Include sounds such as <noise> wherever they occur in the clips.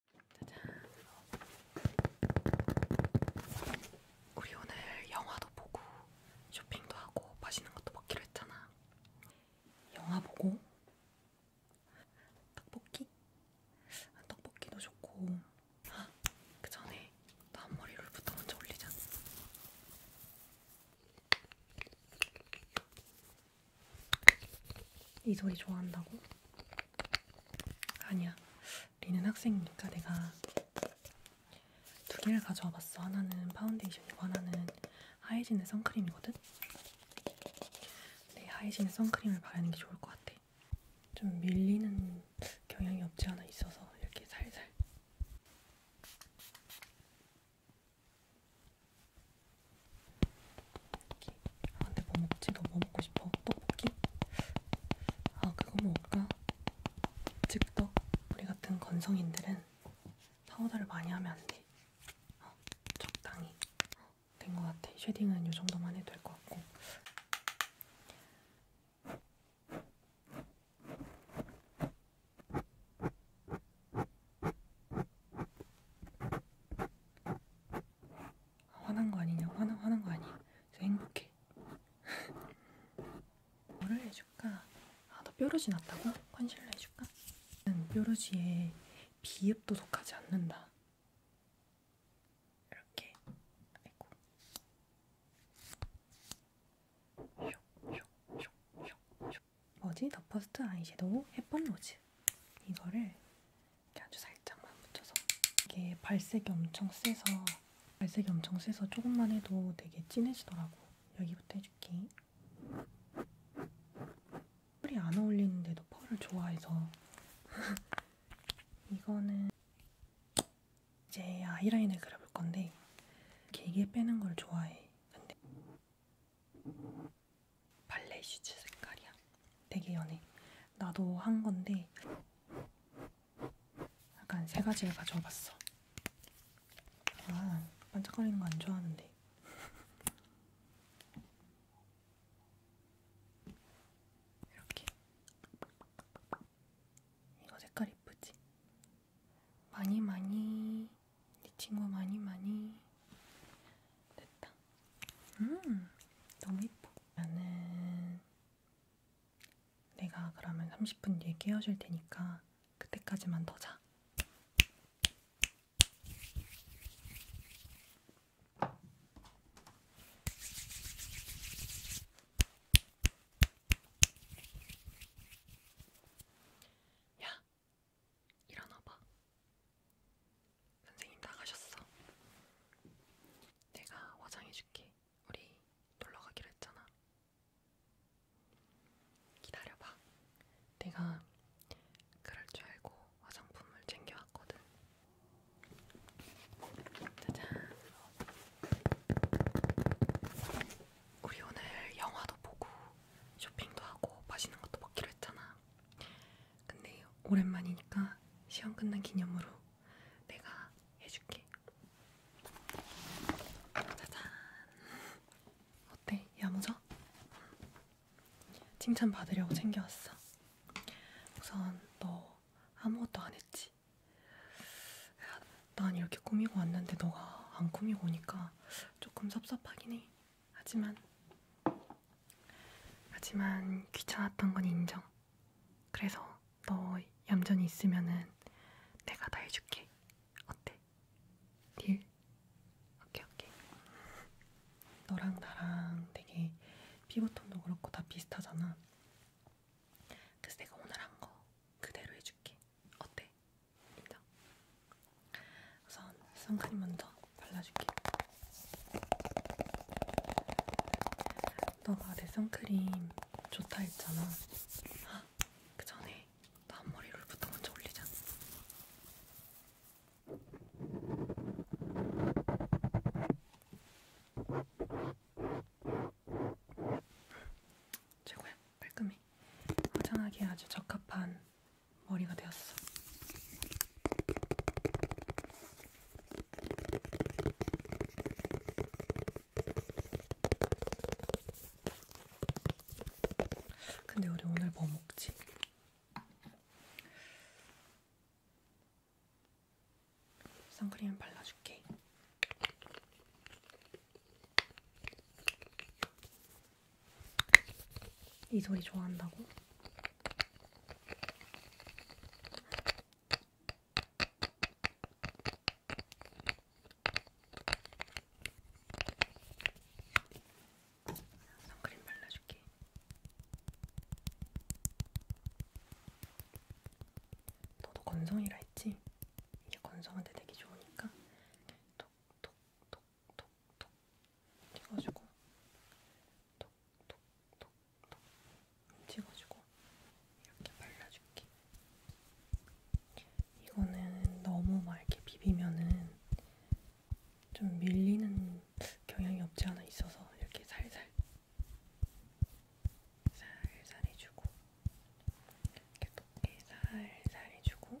짜잔. 우리 오늘 영화도 보고 쇼핑도 하고 맛있는 것도 먹기로 했잖아. 영화 보고 떡볶이? 아, 떡볶이도 좋고. 아, 그 전에 너 앞머리 롤부터 먼저 올리자. 이 소리 좋아한다고? 아니야. 리는 학생이니까 내가 두 개를 가져와 봤어. 하나는 파운데이션이고 하나는 하이진의 선크림이거든? 네, 하이진의 선크림을 바르는 게 좋을 것 같아. 좀 밀리는 경향이 없지 않아 있어서 이렇게 살살. 떡볶이? 아 근데 뭐 먹지? 너 뭐 먹고 싶어? 떡볶이? 아 그거 먹을까? 즉떡 우리 같은 건성인들은 파우더를 많이 하면 안 돼. 어, 적당히 어, 된것 같아. 쉐딩은 이 정도만 해도 될 것 같고. 화난 거 아니냐? 화난 화난 거 아니야? 저 행복해. <laughs> 뭐를 해줄까? 아, 너 뾰루지 났다고? 컨실러 해줄까? 난 뾰루지에 비읍도 속하지 않는다. 이렇게. 아이고. 쇼쇼쇼쇼쇼. 뭐지? 더 퍼스트 아이섀도우 햇번 로즈. 이거를 이렇게 아주 살짝만 묻혀서 이게 발색이 엄청 세서 발색이 엄청 세서 조금만 해도 되게 진해지더라고. 여기부터 해줄게. 펄이 안 어울리는데도 펄을 좋아해서 <laughs> 이거는 이제 아이라인을 그려볼 건데 길게 빼는 걸 좋아해. 근데 발레 슈즈 색깔이야. 되게 연해. 나도 한 건데 약간 세 가지를 가져와봤어. 아, 반짝거리는 거 안 좋아하는데. <laughs> 이렇게. 이거 색깔 이쁘지? 많이 많이 네 친구 많이 많이 됐다. 음, 너무 예뻐. 나는 내가 그러면 30분 뒤에 깨워줄 테니까 그때까지만 더 자. 야, 일어나봐. 선생님 나가셨어. 내가 화장해줄게. 우리 놀러 가기로 했잖아. 기다려봐. 내가 그럴 줄 알고 화장품을 챙겨왔거든. 짜잔. 우리 오늘 영화도 보고 쇼핑도 하고 맛있는 것도 먹기로 했잖아. 근데 오랜만이니까 시험 끝난 기념으로 내가 해줄게. 짜잔. 어때? 야무져? 칭찬 받으려고 챙겨왔어. 우선 너 아무것도 안 했지? 난 이렇게 꾸미고 왔는데 너가 안 꾸미고 오니까 조금 섭섭하긴 해. 하지만 하지만 귀찮았던 건 인정. 그래서 너 얌전히 있으면은 내가 다 해줄게. 어때? 딜? 오케이 오케이. 너랑 나랑 되게 피부톤도 그렇고 다 비슷하잖아. 그래서 내가 오늘 한 거 그대로 해줄게. 어때? 인정? 우선 선크림 먼저 발라줄게. 너가 내 선크림 좋다 했잖아. 아, 그 전에 나 앞머리 롤부터 먼저 올리자. 최고야, 깔끔해. 화장하기에 아주 적합한 머리가 되었어. 근데 우리 오늘 뭐 먹지? 선크림 발라줄게. 이 소리 좋아한다고? 선크림 발라줄게. 너도 건성이라 했지? 이게 건성한테 되게 좋으니까 톡톡톡 톡톡 찍어주고 톡톡톡톡 찍어주고 이렇게 발라줄게. 이거는 너무 막 이렇게 비비면은 좀 밀리는 경향이 없지 않아 있어서 이렇게 살살 살살 해주고 이렇게 덮개 살살 해주고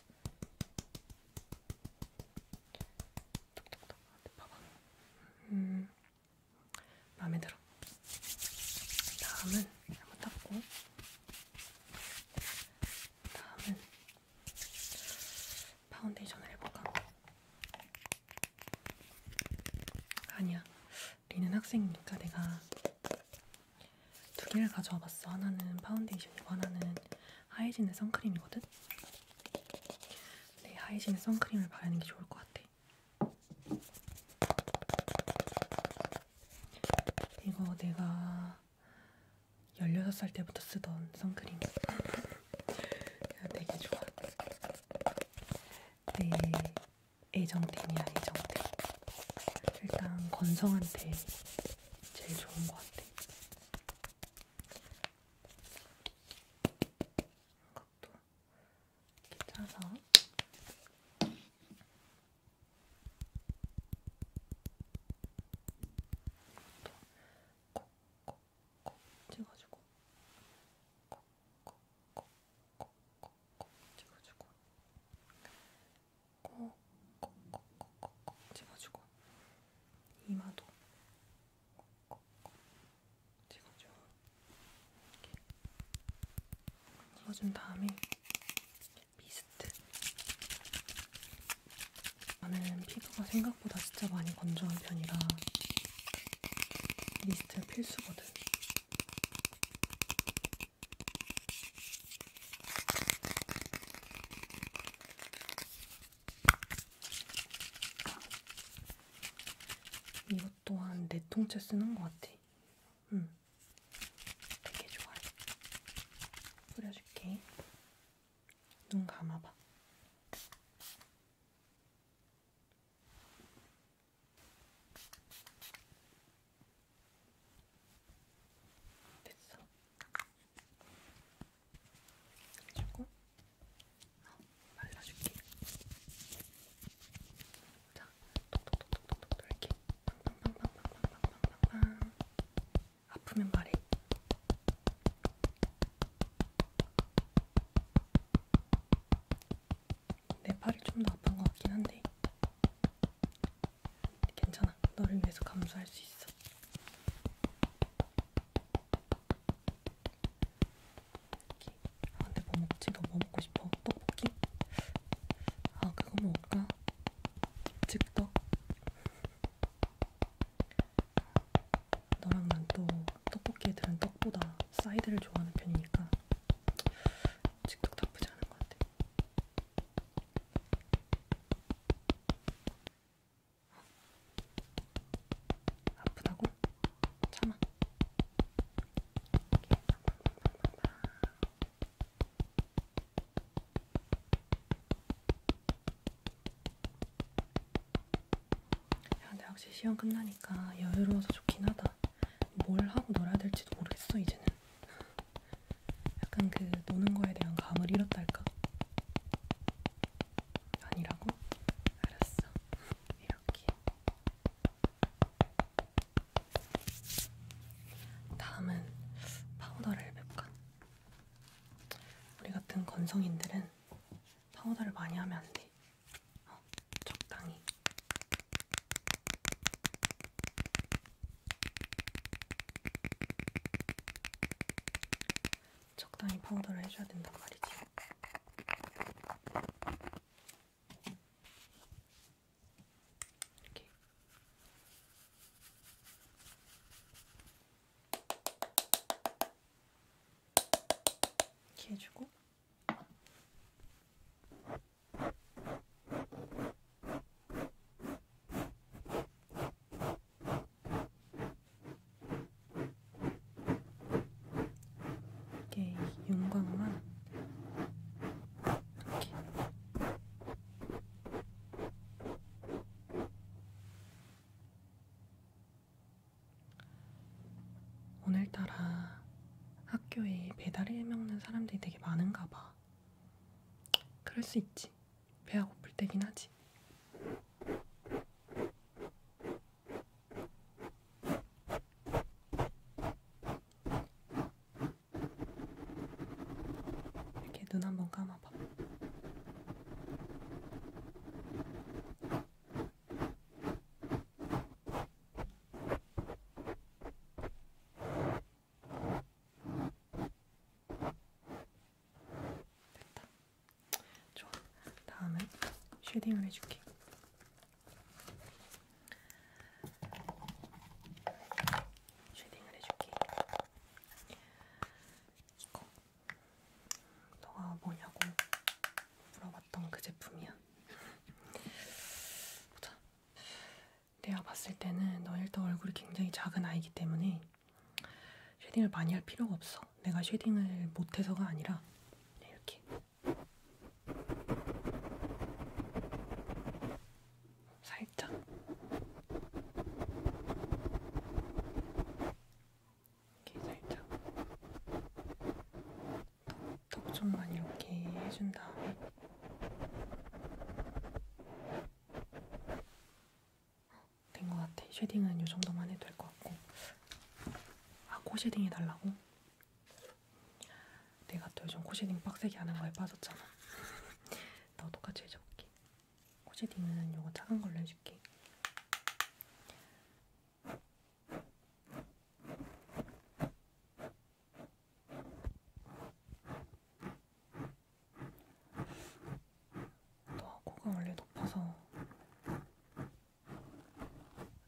톡톡톡 봐봐. 음, 마음에 들어. 다음은 한번 닦고. 다음은 파운데이션을 해볼까? 아니야. 리는 학생이니까 내가 두 개를 가져와봤어. 하나는 파운데이션이고 하나는 하이진의 선크림이거든. 네, 하이신의 선크림을 바르는 게 좋을 것 같아. 이거 내가 16살 때부터 쓰던 선크림. 되게 좋아. 내 애정템이야, 애정템. 일단 건성한테 제일 좋은 것 같아. 이것도 짜서 콕콕콕 찍어주고 콕콕콕콕콕콕 찍어주고 콕콕콕콕콕 찍어주고 이마도 꼭꼭꼭 찍어줘. 이렇게 찍어준 다음에 미스트. 나는 피부가 생각보다 진짜 많이 건조한 편이라 미스트 필수거든. 이것 또한 네 통째 쓰는 것 같아. 응. 음. 되게 좋아해. 뿌려줄게. 눈 감아봐. 됐어. 조금 어, 발라줄게. 자, 톡톡톡톡톡 이렇게 빵빵빵빵빵빵빵빵빵 아프면 말해. 내 팔이 좀 더 아픈 것 같긴 한데 괜찮아. 너를 위해서 감수할 수 있어. 아, 근데 뭐 먹지? 너 뭐 먹고 싶어? 떡볶이? 아, 그거 먹을까? 즉떡? 너랑 난 또 떡볶이 애들은 떡보다 사이드를 좋아하는 편이니까 즉떡 나쁘지 않은 것 같아. 아프다고? 참아. 야, 근데 확실히 시험 끝나니까 여유로워서 좋긴 하다. 뭘 하고 놀아야 될지도 모르겠어, 이제는. 약간 그 노는 거에 대한 감을 잃었달까? 아니라고? 알았어. 이렇게. 다음은 파우더를 맵간. 우리 같은 건성인들은 파우더를 많이 하면 안 돼. 어, 적당히. 적당히 파우더를 해줘야 된단 말이지. 이렇게. 이렇게 해주고. 이렇게 이게 윤광만 이렇게 오늘따라 학교에 배달해 먹는 사람들이 되게 많은가 봐. 그럴 수 있지. 배가 고플 때긴 하지. 이렇게 눈 한번 감아봐. 됐다. 좋아. 다음은 쉐딩을 해줄게. 쉐딩을 해줄게. 이거 너가 뭐냐고 물어봤던 그 제품이야. 보자. 내가 봤을 때는 너 일단 얼굴이 굉장히 작은 아이기 때문에 쉐딩을 많이 할 필요가 없어. 내가 쉐딩을 못해서가 아니라 이렇게 살짝 이렇게 살짝 턱 좀만 이렇게 해준 다음에 된것 같아. 쉐딩은 이 정도만 해도 될 것 같고. 아, 코 쉐딩 해달라고? 내가 또 요즘 코 쉐딩 빡세게 하는 거에 빠졌잖아. 나 똑같이 해줘볼게. 코 쉐딩은 요거 작은 걸로 해줄게. 또 코가 원래 높아서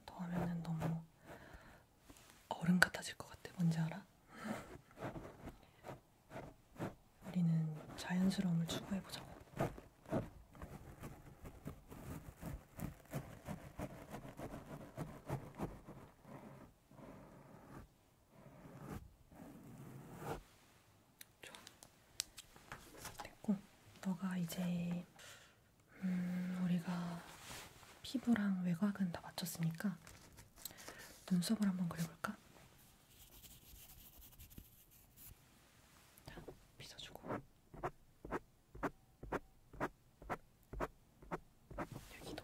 더하면은 너무 어른 같아질 것 같아. 뭔지 알아? 우리는 자연스러움을 추구해보자고. 좋아. 됐고, 너가 이제 음, 우리가 피부랑 외곽은 다 맞췄으니까 눈썹을 한번 그려볼까? 자, 빗어주고 여기도.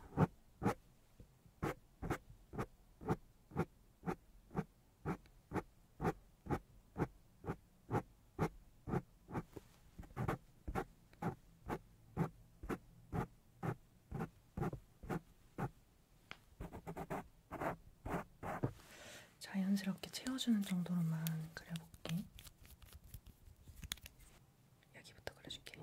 자연스럽게 채워주는 정도로만 그려볼게. 여기부터 그려줄게.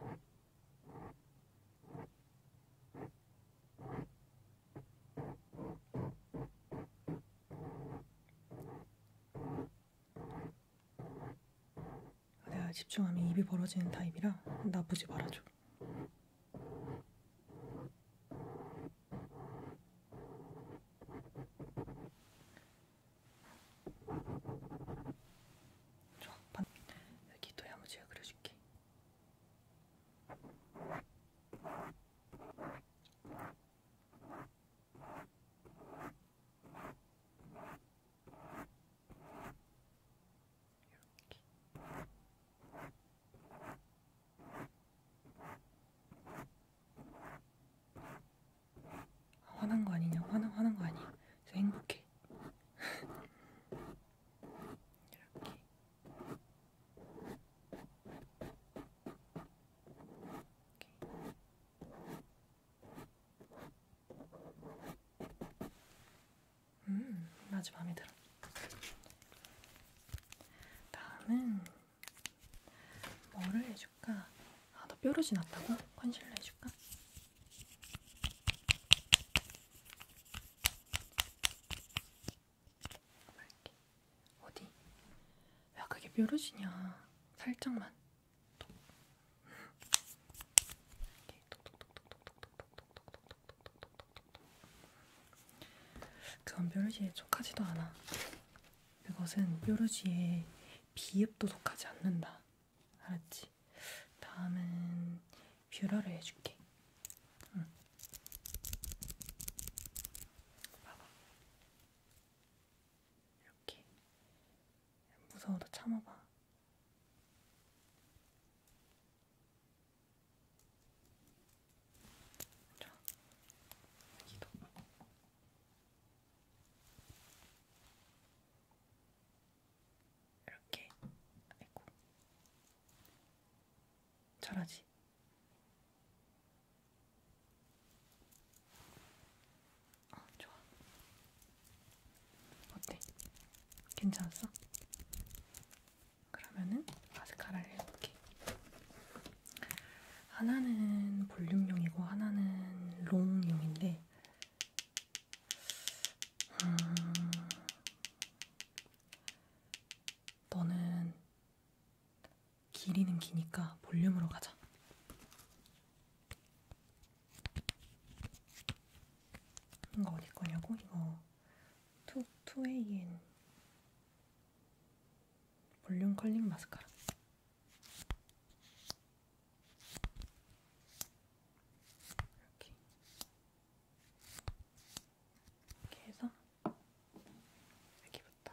내가 집중하면 입이 벌어지는 타입이라 나쁘지 말아줘. 좋아, 여기 도야무지가 그려줄게. 화난 거 아니냐? 화난 화난 거 아니? 저 행복해. <laughs> 이렇게 음, 아주 마음에 들어. 다음은 뭐를 해줄까? 아, 너 뾰루지 났다고? 컨실러 해줄까? 어디? 야 그게 뾰루지냐? 살짝만. 그건 뾰루지에 속하지도 않아. 그것은 뾰루지에 비읍도 속하지 않는다. 알았지? 다음은 뷰러를 해줄게. 응. 봐봐. 이렇게. 무서워도 참아봐. 자, 여기도. 이렇게. 아이고. 잘하지? 아, 좋아. 어때? 괜찮았어? 그러면은 마스카라를 해볼게. 하나는 볼륨용이고 하나는 롱용인데 음, 너는 길이는 기니까 볼륨으로 가자. 이거 어디 거냐고? 이거 2, 2AN 볼륨 컬링 마스카라. 이렇게 이렇게 해서 여기부터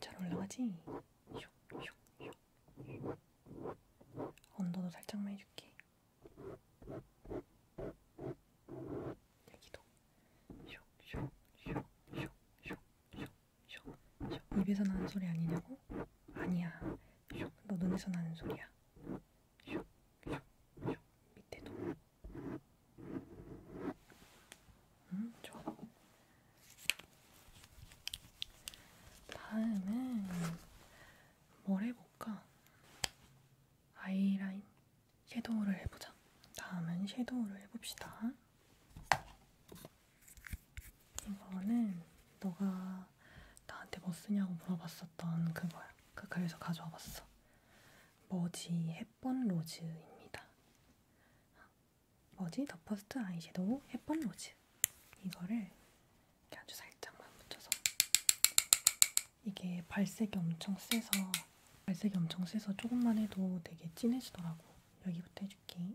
잘 올라가지? 언더도 살짝만 해줄게. 여기도 슉슉슉슉슉슉 슉슉 입에서 나는 소리 아니냐고? 아니야. 슉. 너 눈에서 나는 소리야. 슉. 슉. 슉. 밑에도. 음, 좋아. 다음은 뭘 해볼까? 아이라인 섀도우를 해보자. 다음은 섀도우를 해봅시다. 이거는 너가 나한테 뭐 쓰냐고 물어봤었던 그거야. 그 그래서 가져와 봤어. 머지 햇번 로즈입니다. 머지 더 퍼스트 아이섀도우 햇번 로즈. 이거를 이렇게 아주 살짝만 묻혀서 이게 발색이 엄청 세서 발색이 엄청 세서 조금만 해도 되게 진해지더라고. 여기부터 해줄게.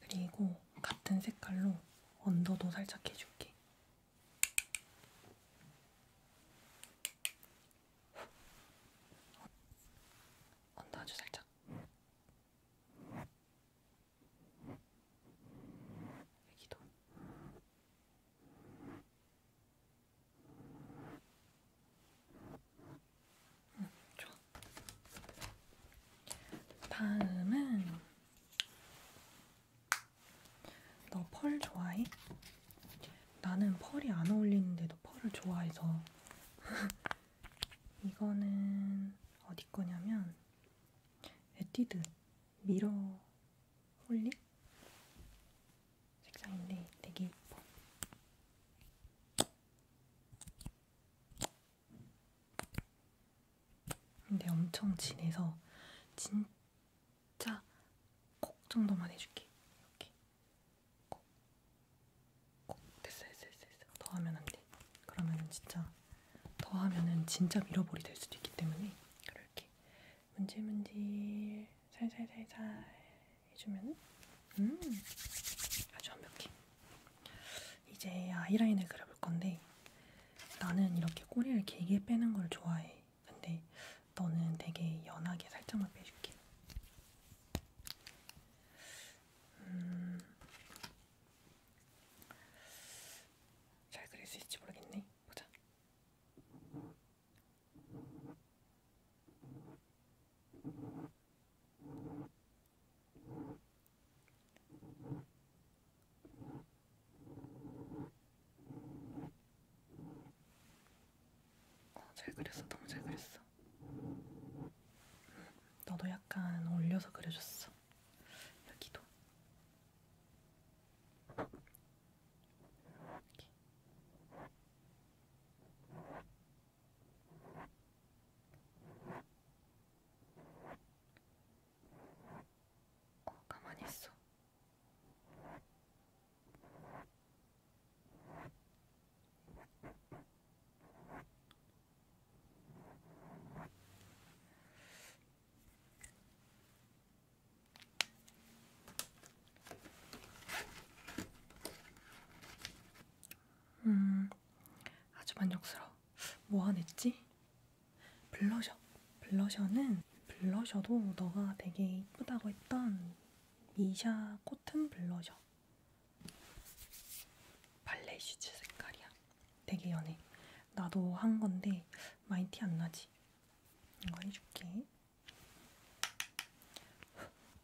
그리고 같은 색깔로 언더도 살짝 해줄게. 언더 아주 살짝. 여기도. 음, 좋아. 다음은 너 펄 좋아해? 나는 펄이 안 어울리는데도 펄을 좋아해서 <laughs> 이거는 어디 거냐면 에뛰드 미러 홀리 색상인데 되게 예뻐. 근데 엄청 진해서 진짜 콕 정도만 해줄게. 이렇게 콕, 콕 됐어, 됐어, 됐어. 됐어. 더 하면 안 돼. 그러면은 진짜 더 하면은 진짜 밀어버리 될 수도 있기 때문에 그럴게. 문질문질 살살살살 해주면 음, 아주 완벽해. 이제 아이라인을 그려볼 건데 나는 이렇게 꼬리를 길게 빼는 걸 좋아해. 근데 너는 되게 연하게 살짝만 빼줄게. 음, 잘 그릴 수 있을지 모르겠네. 보자. 어, 잘 그렸어, 너무 잘 그렸어. 너도 약간 올려서 그려줬어. 여기도. 이렇게. 어, 가만히 있어. 음, 아주 만족스러워. 뭐 안 했지? 블러셔. 블러셔는 블러셔도 너가 되게 이쁘다고 했던 미샤 코튼 블러셔. 발레 슈즈 색깔이야. 되게 연해. 나도 한 건데 많이 티 안 나지? 이거 해줄게.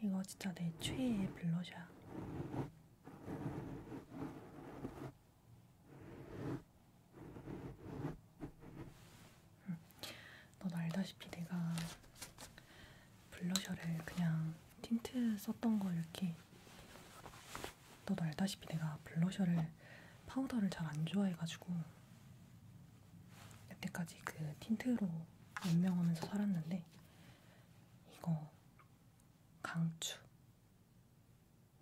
이거 진짜 내 최애의 블러셔야. 응. 음. 넌 알다시피 내가 블러셔를 그냥 틴트 썼던 거 이렇게 너도 알다시피 내가 블러셔를 파우더를 잘 안 좋아해가지고 여태까지 그 틴트로 연명하면서 살았는데 이거 강추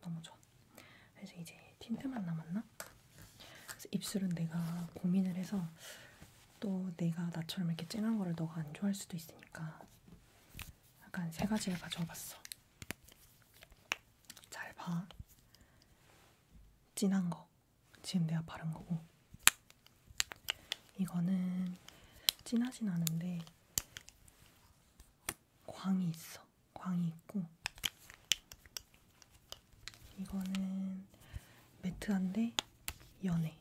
너무 좋아. 그래서 이제 틴트만 남았나? 그래서 입술은 내가 고민을 해서 또 내가 나처럼 이렇게 진한 거를 너가 안 좋아할 수도 있으니까 약간 세 가지를 가져와봤어. 잘 봐. 진한 거. 지금 내가 바른 거고 이거는 진하진 않은데 광이 있어. 광이 있고 이거는 매트한데 연해.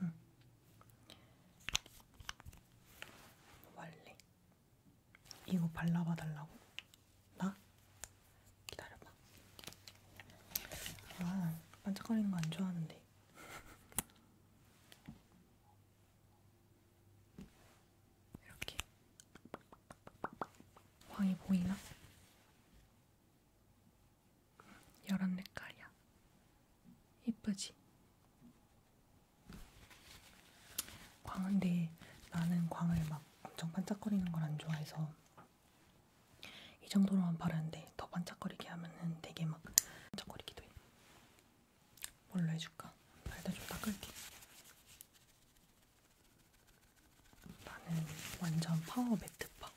응. 말래. 이거 발라봐 달라고? 나? 기다려봐. 아, 반짝거리는 거 안 좋아하는데. 이렇게. 광이 보이나? 열한 색깔이야. 이쁘지? 광인데 나는 광을 막 엄청 반짝거리는 걸 안 좋아해서 이 정도로만 바르는데 더 반짝거리게 하면은 되게 막 반짝거리기도 해. 뭘로 해줄까? 발도 좀 닦을게. 나는 완전 파워 매트파.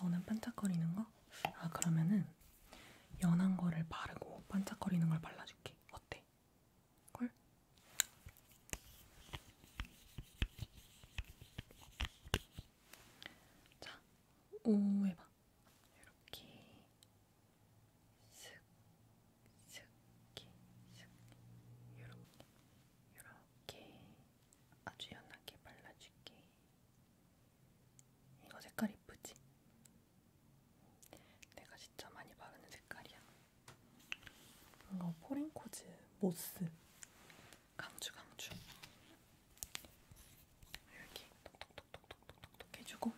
너는 반짝거리는 거? 아 그러면은 연한 거를 바르고 반짝거리는 걸 발라줄게. 어때? 걸? 자, 오해봐. 이렇게 슥, 슥, 슥, 이렇게, 이렇게 아주 연하게 발라줄게. 이거 색깔 이쁘지? 내가 진짜 많이 바르는 색깔이야. 뭔가 포렌코즈 모스 강추 강추. 여기 톡톡톡톡톡톡 해주고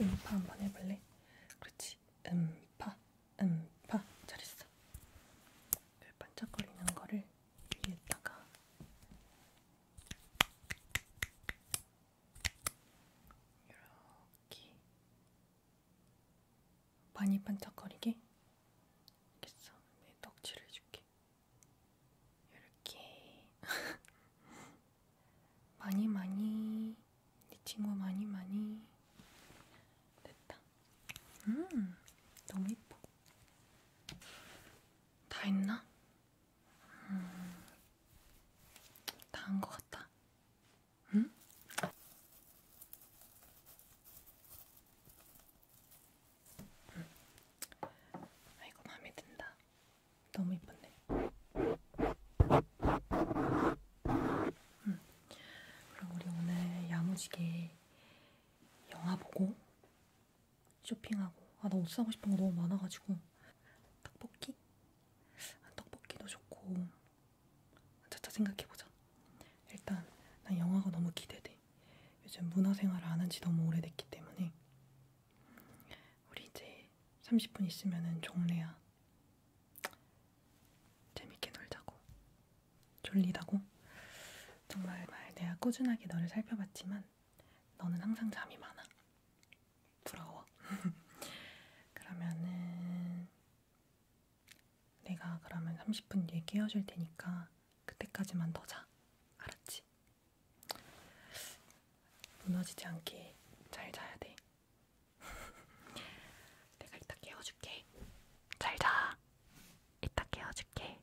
음파 한번 해볼래? 그렇지. 음파 음파 잘했어. 그 반짝거리는 거를 위에다가 이렇게 많이 반짝거리게 알겠어? 내 덕질을 해줄게 이렇게 <laughs> 많이 많이 네 친구 많이 많이 됐다 음 너무 예뻐 다 했나? 음, 다한 것 같다. 응? 음. 아이고 마음에 든다. 너무 이쁜데. 음. 그럼 우리 오늘 야무지게 영화 보고 쇼핑하고 아 나 옷 사고 싶은 거 너무 많아가지고 떡볶이? 아, 떡볶이도 좋고 차차 생각해보자 일단 난 영화가 너무 기대돼 요즘 문화생활을 안한지 너무 오래됐기 때문에 우리 이제 30분 있으면은 종례야 재밌게 놀자고 졸리다고? 정말 내가 꾸준하게 너를 살펴봤지만 너는 항상 잠이 많아 부러워. <laughs> 그러면은 내가 그러면 30분 뒤에 깨워줄 테니까 그때까지만 더 자. 알았지? 무너지지 않게 잘 자야 돼. <laughs> 내가 이따 깨워줄게. 잘 자. 이따 깨워줄게.